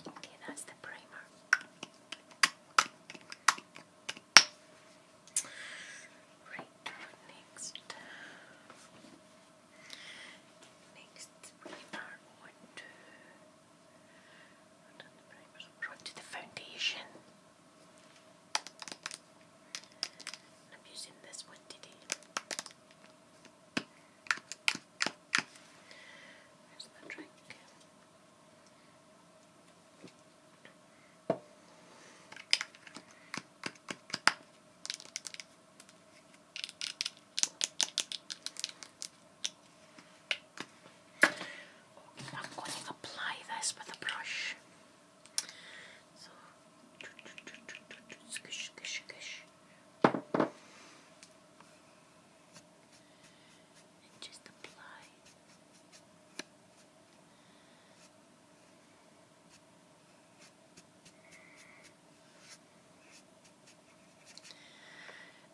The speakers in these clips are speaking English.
Okay, that's the primer. Right, next. Next, we are on the foundation. I'm using this one today. Here's the drink. I'm going to apply this with a brush. So, squish, squish, squish. And just apply.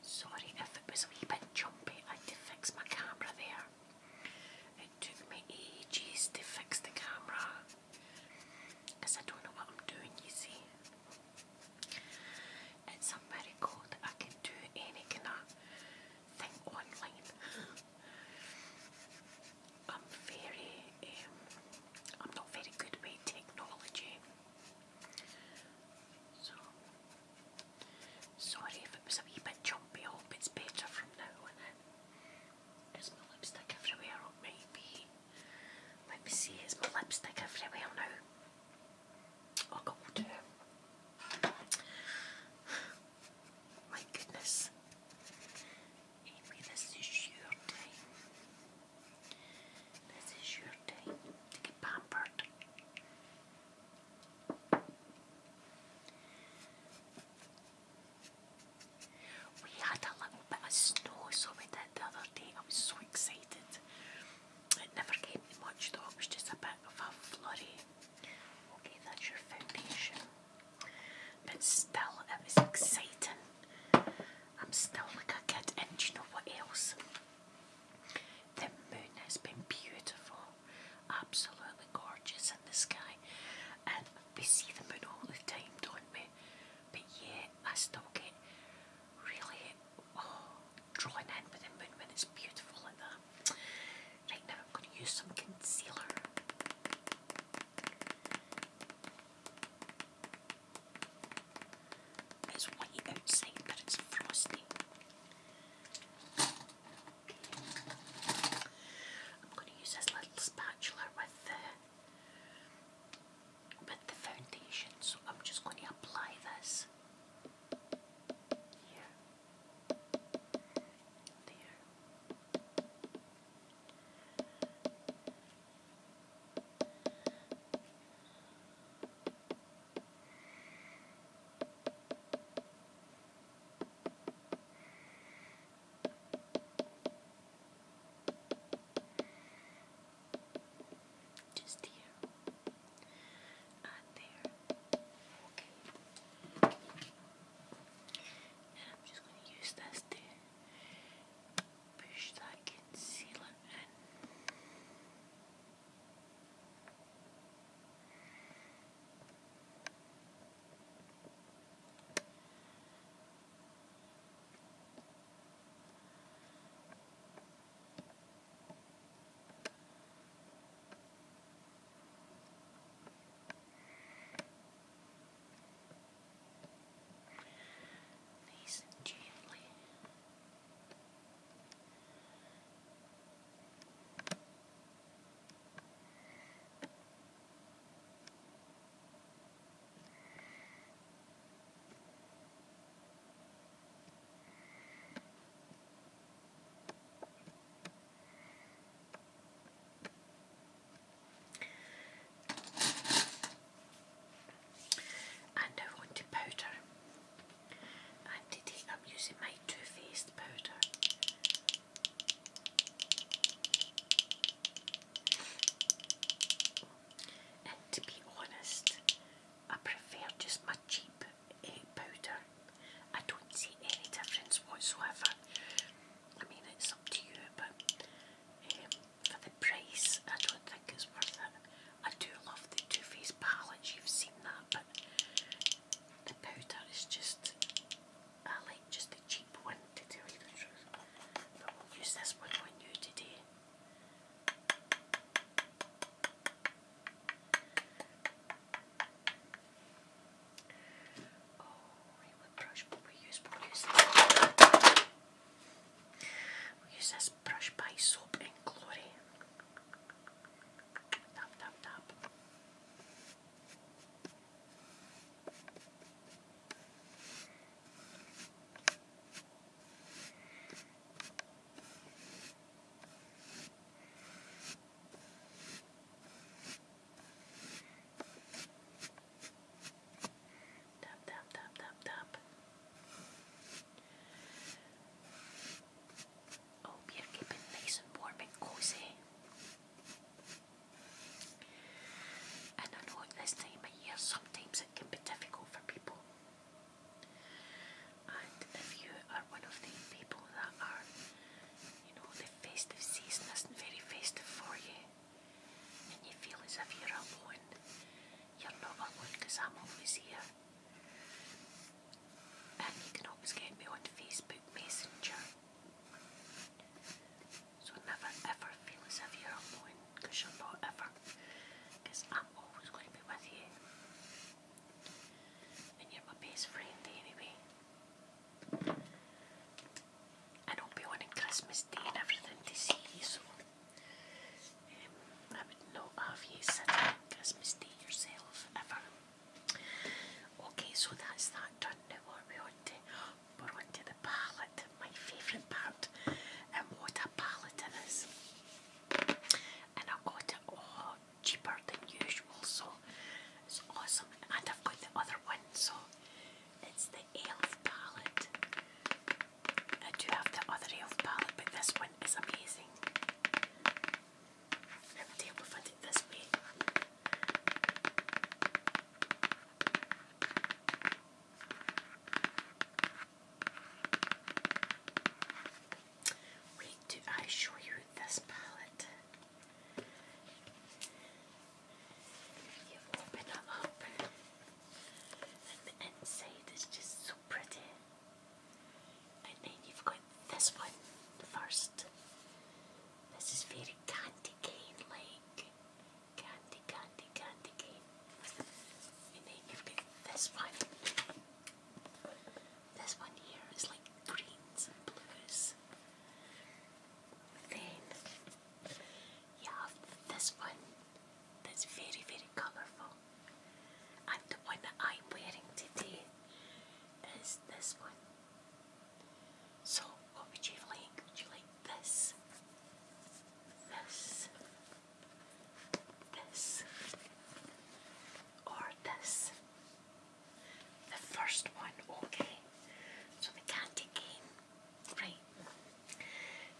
Sorry if it was a wee bit jumpy, I had to fix my camera there. It took me ages to fix the camera because I don't know what I'm doing, you see. It's a miracle that I can do any kind of thing online. I'm very, um, I'm not very good with technology. So, sorry if it was a wee bit jumpy, I hope it's better from now on Is my lipstick everywhere? It Let me see, is my lipstick everywhere now? Oh god. My goodness. Amy, this is your day. This is your time to get pampered. We had a little bit of snow, so we did the other day. I was so excited. It never came to much though, it was just a bit of a flurry. Okay, that's your foundation. But still, it was exciting. I'm still like a kid, and you know what else? The moon has been beautiful, absolutely gorgeous in the sky, and we see the moon all the time, don't we? But yeah, I still get really oh, drawn in with the moon when it's beautiful like that. Right now I'm going to use some concealer. It's white outside but it's frosty. I'm going to use this little spatula with the with the foundation so I'm just going to apply this just here on there. Okay. And I'm just going to use this to push that concealer in. Nice and gently. Good. And now on to powder. And today I'm using my Too Faced powder. And to be honest, I prefer just my cheap powder. I don't see any difference whatsoever. I mean, it's up to you, but um, for the price, I don't think it's worth it. I do love the two-face palettes, you've seen that, but the powder is just, I like just the cheap one to tell you the truth. But we'll use this one on you today. Oh, what brush will we use? we we use this brush by Soap and Glory. Tap, tap, tap. Tap, tap, tap, tap, tap. Oh, yeah, keep it nice and warm and cozy. And I know at this time of year sometimes it can be difficult for people. And if you are one of the people that are, you know, the festive season isn't very festive for you, and you feel as if you're alone, you're not alone because I'm always here. And you can always get me on Facebook Messenger. So never ever feel as if you're alone because you're not ever, because I'm always going to be with you. And you're my best friend anyway. And I'll be wanting Christmas Day and everything to see you, so um, I would not have you sitting on Christmas Day yourself ever. Okay, so that's that done. Now what we on to? We're the palette, my favourite part. And what a palette it is. And I got it all cheaper than usual, so it's awesome. And I've got the other one, so it's the ELF palette. I do have the other ELF palette, but this one is amazing. I would be able it this way. Wait, do I show you this palette? You open it up, and the inside is just so pretty. And then you've got this one first. This is very candy cane like. Candy, candy, candy cane. And then you've got this one. This one here is like greens and blues. Then you have this one that's very, very colourful. And the one that I'm wearing today is this one. So, what would you like? Would you like this? This? This? Or this? The first one, okay. So the candy cane. Right.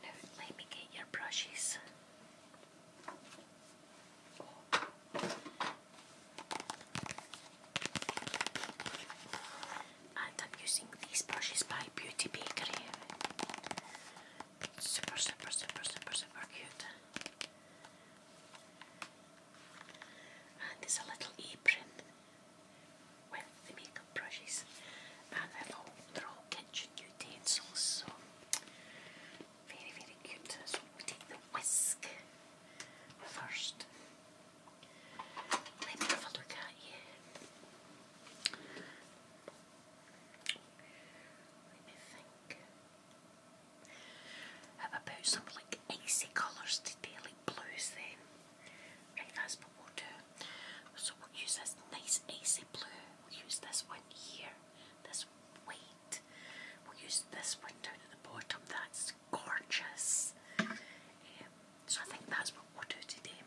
Now let me get your brushes. And I'm using these brushes by Beauty Bakery. Super, super, super, super, super cute and it's a little apron with the makeup brushes and they're all, they're all kitchen utensils so very very cute so we take the whisk first let me have a look at you let me think how about some like icy colours today, like blues then? Right, that's what we'll do. So we'll use this nice icy blue, we'll use this one here, this white, we'll use this one down at the bottom, that's gorgeous. Um, so I think that's what we'll do today.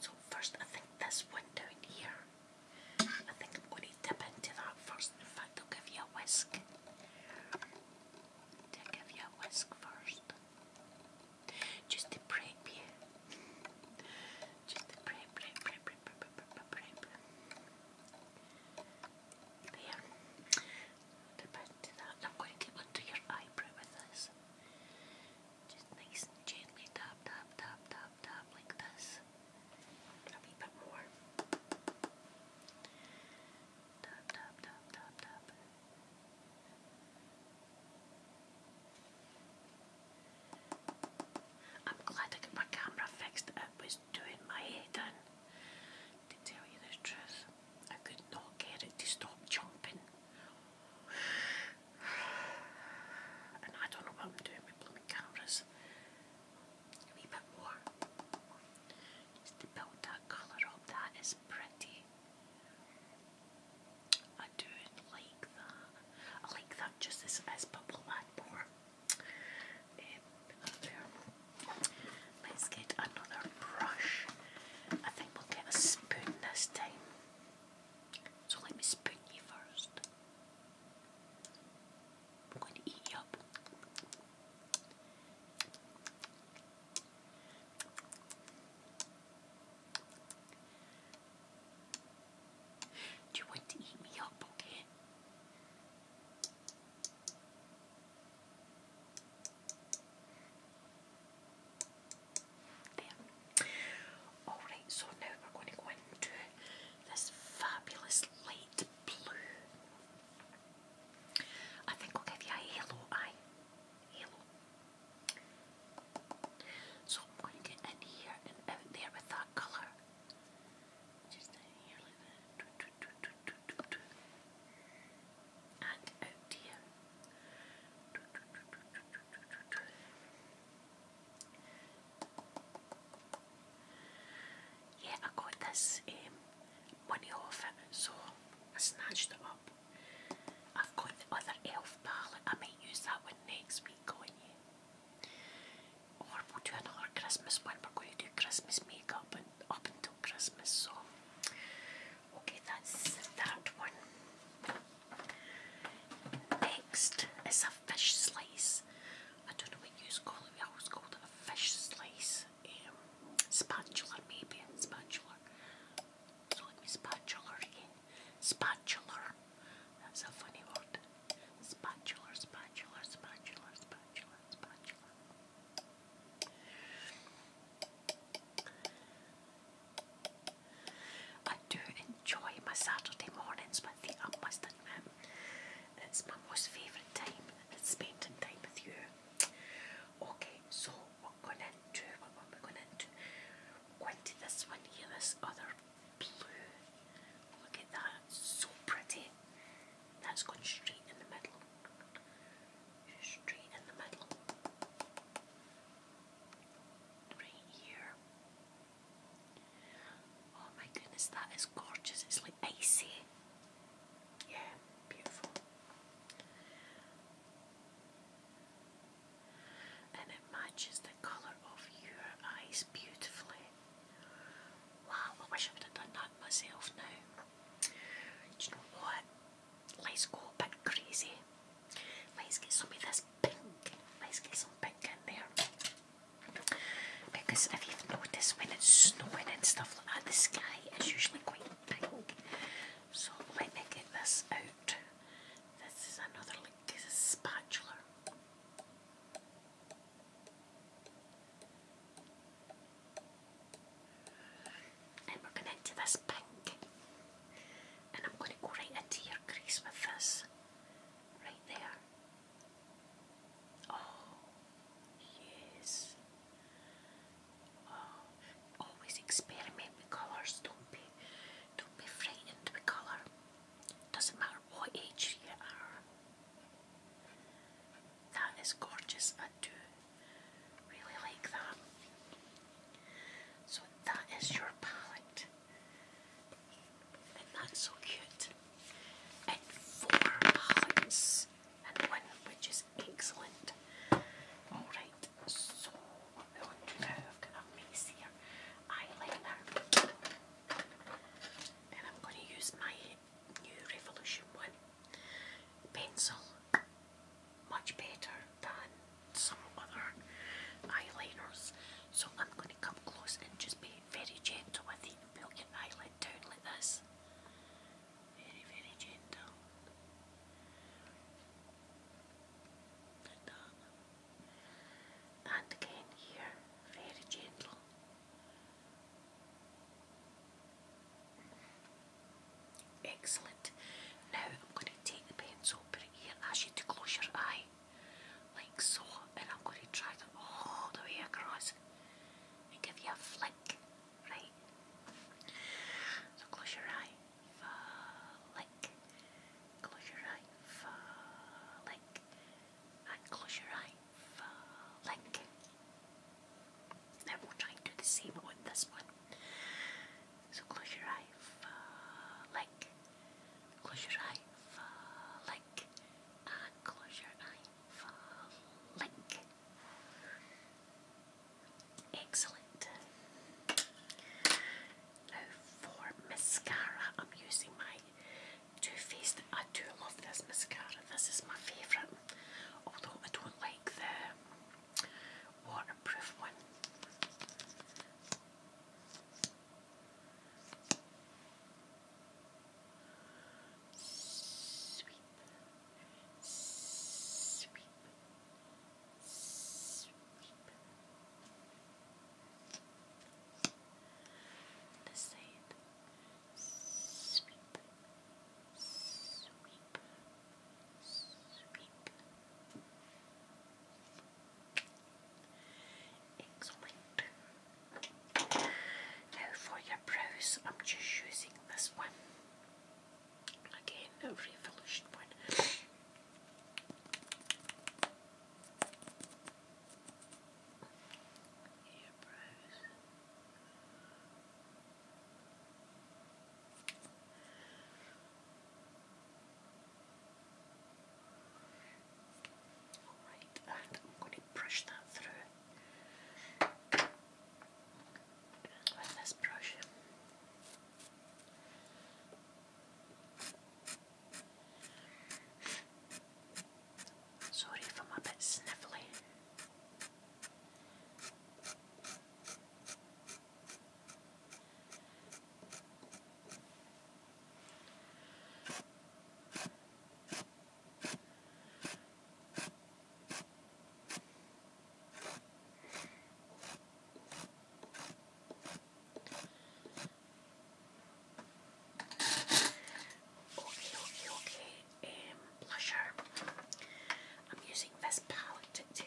So first I think this one down here, I think I'm going to dip into that first, in fact I'll give you a whisk. To give you a whisk first. Just to prep you. Just to prep, prep, prep, prep, prep, prep, prep. There. A bit to I'm going to get under your eyebrow with this. Just nice and gently tap, tap, tap, tap, tap like this. I'm glad I got my camera fixed. It was doing my head in. To tell you the truth, I could not get it to stop jumping. And I don't know what I'm doing with blooming cameras a wee bit more. Just to build that colour up. That is pretty. I do like that. I like that just as it is, but we'll more. Um, Let's get another brush. I think we'll get a spoon this time. So let me spoon you first. I'm going to eat you up. Do you want to eat me up, okay? Alright, so now we're going to go into this fabulous light blue I think we'll give you halo eye. So I'm going to get in here and out there with that colour. Just in here like that. And out here. Yeah, I got this um, money off it, so I snatched it up. I've got the other elf palette. I might use that one next week on you. Or we'll do another Christmas one. We're going to do Christmas makeup and up until Christmas, so okay, that's that one. Next is a fish slice. I don't know what you call it, we always called it fish slice um, spatula, maybe spatula. let me spatula again. Spatula. That's a funny word. Spatula, spatula, spatula, spatula, spatula. I do enjoy my Saturday mornings with the I must time. It's my most favourite time. It's spending time with you. Okay, so we're going into what are we going into? are going to this one here, this other blue. Look at that, so pretty. That's going straight in the middle. Straight in the middle. Right here. Oh my goodness, that is gorgeous. It's like icy. Yeah, beautiful. And it matches the colour of your eyes beautifully. Wow, wish I would have done that myself now. Do you know what? Let's go a bit crazy. Let's get some of this pink. Let's get some pink in there. Because if you've noticed, when it's snowing and stuff like that, the sky is usually quite pink. So going to get this out. This is another like spatula. And we're going into this pink. And I'm going to go right into your crease with this. Right there. Oh, yes. Oh, always experiment with colours. Don't be, don't be frightened with colour. Doesn't matter what age you are. That is gorgeous. I do really like that. So that is your palette and that's so cute. And four pallets and one, which is excellent. Alright, so what we I've got a mace here, eyeliner, and I'm going to use my new Revolution 1 pencil, much better than some other eyeliners. So I'm going to come close and just be very gentle with the we eyeliner it like this. Very, very gentle. Like And again here, very gentle. Excellent. Now I'm going to take the pencil, put it here, ask you to close your eye, like so, and I'm going to drag it all the way across. I give you a flick, right? So close your eye, flick. Close your eye, flick. And close your eye, flick. Now we'll try and do the same on this one. So close your eye, flick. Close your eye, flick. And close your eye, link. Excellent. Now for mascara, I'm using my Too Faced. I do love this mascara. This is my favourite. Although I don't like the waterproof one. Sweep, sweep, sweep. Let's say it. Sweep, sweep, sweep. Excellent. Now for your brows, I'm just using this one. Again, a Revolution one. Alright, and I'm going to brush that through with this brush. Sorry if i bit sniffly. Okay, okay, okay. Um, blusher. I'm using this palette today.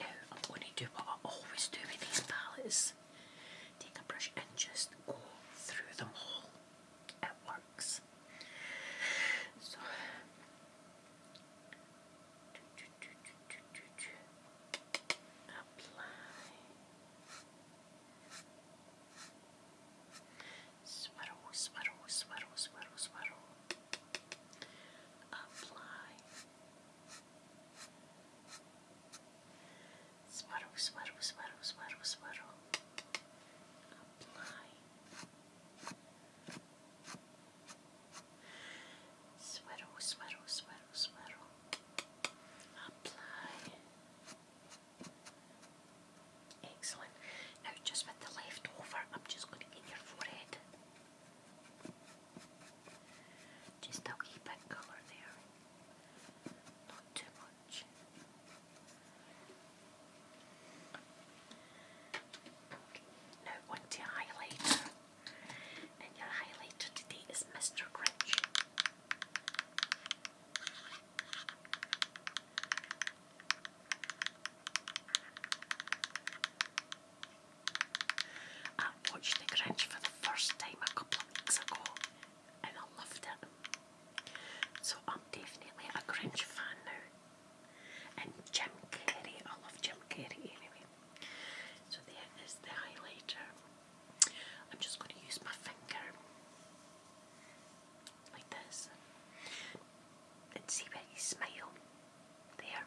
Now I'm going to do what I always do with these palettes. Take a brush and just go through them all. It works. So apply swirl, swirl, swirl, swirl, swirl. Apply. Swirl, swirl, swirl, swirl, swirl. Apply. Swirl, swirl, swirl, swirl. Apply. Excellent. Now, just with the left over, I'm just going to get your forehead. Just I'll keep that colour there, not too much. Now onto your highlighter, and your highlighter today is Mr. Grinch. I watched The Grinch for the first time a couple of weeks ago and I loved it. So I'm definitely a Grinch fan now. And Jim Carrey, I love Jim Carrey anyway. So there is the highlighter. I'm just going to use my finger like this and see where you smile. There.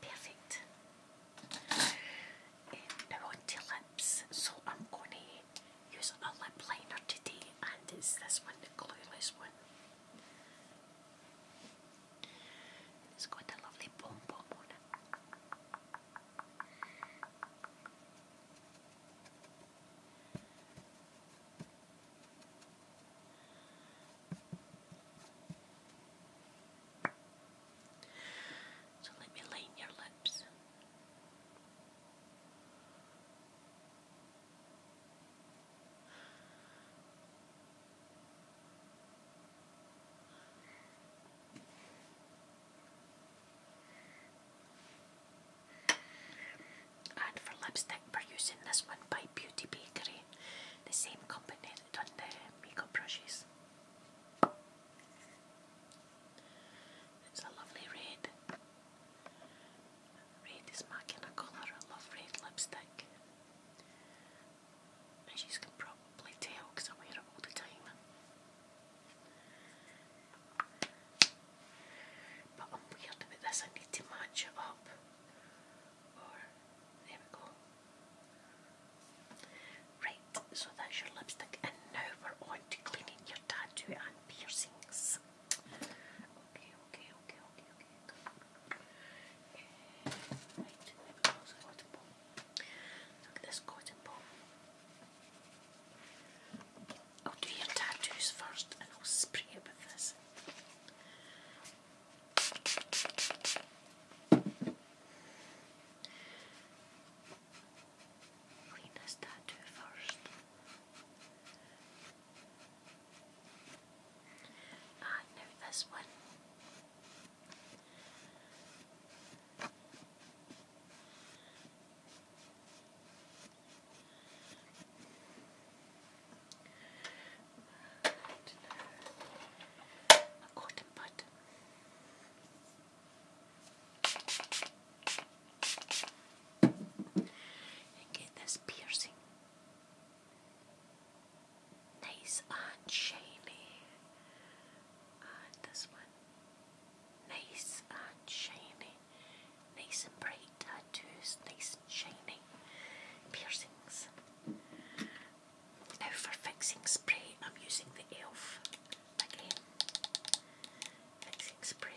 Perfect. now on to lips. So I'm going to use a lip liner today and it's this one, the glueless one. It's quite a lovely pom pom on So let me line your lips. And for lipstick, we're using this one by Beauty Bakery, the same company that done the makeup brushes. It's a lovely red. Red is my kind of colour, I love red lipstick. As you can probably tell because I wear it all the time. But I'm weird about this, I need to match it up. there we go. Right, so that's your lipstick, and now we're on to cleaning your tattoo and piercings. Okay, okay, okay, okay, okay, good. And right, there we go. So I want to pull. Look I'll do your tattoos first and I'll spray it with this. Clean this tattoo first. I ah, know this one. cotton bud. And get this piercing Nice Aunt Shaylee. Uh, this one. Nice and shiny. Nice and bright tattoos. Nice and shiny. Piercings. Now for fixing spray, I'm using the e.l.f. again. Fixing spray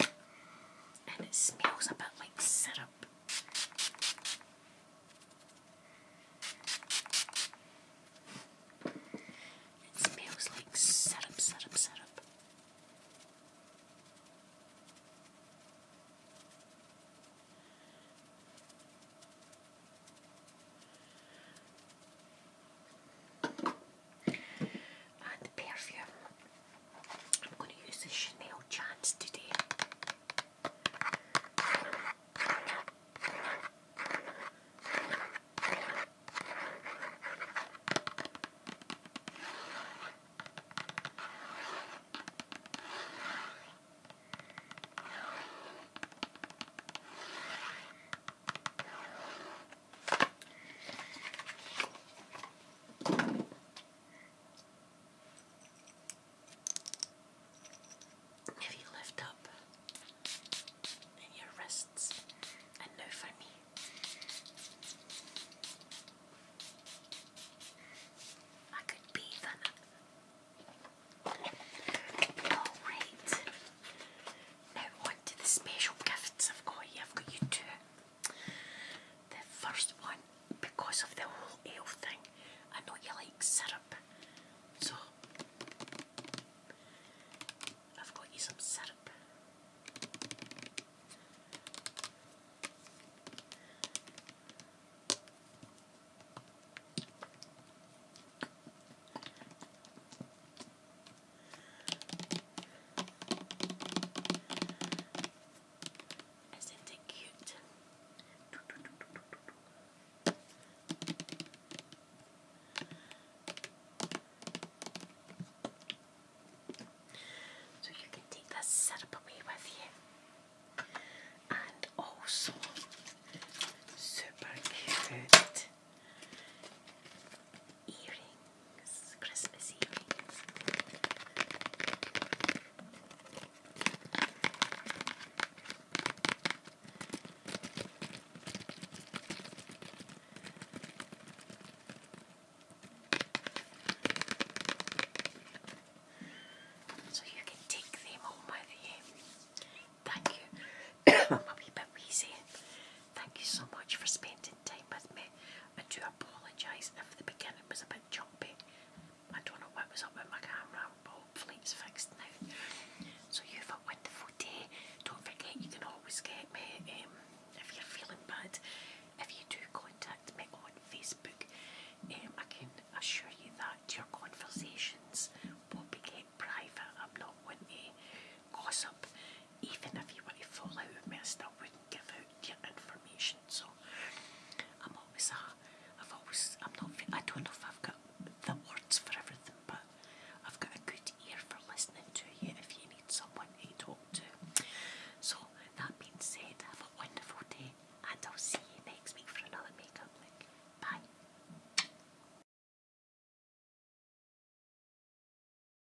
and it smells a bit like syrup. It smells like syrup, syrup, syrup and perfume. I'm going to use the Chanel Chance today. If you lift up in your wrists and now for me. I could bathe in oh, Alright. Now on to the special gifts I've got here. I've got you two the first one, because of the whole ale thing, I know you like syrup, so I've got you some syrup. Isn't it cute? So you can take this syrup away with you. And also, super cute earrings, Christmas earrings. So you can take them home with you. Thank you. I'm a wee bit wheezy. Thank you so much for spending time with me. I do apologise if the beginning was a bit choppy. I don't know what was up with my camera, but hopefully it's fixed now. So you've a wonderful day. Don't forget you can always get me um, if you're feeling bad. If you do contact me on Facebook, um, I can assure you that your conversations will be kept private. I'm not one to gossip even if you were to fall out with wouldn't give out your information. So I'm always a, I've always, I'm not, I don't know if I've got the words for everything, but I've got a good ear for listening to you if you need someone to talk to. So that being said, have a wonderful day, and I'll see you next week for another makeup lick. Bye.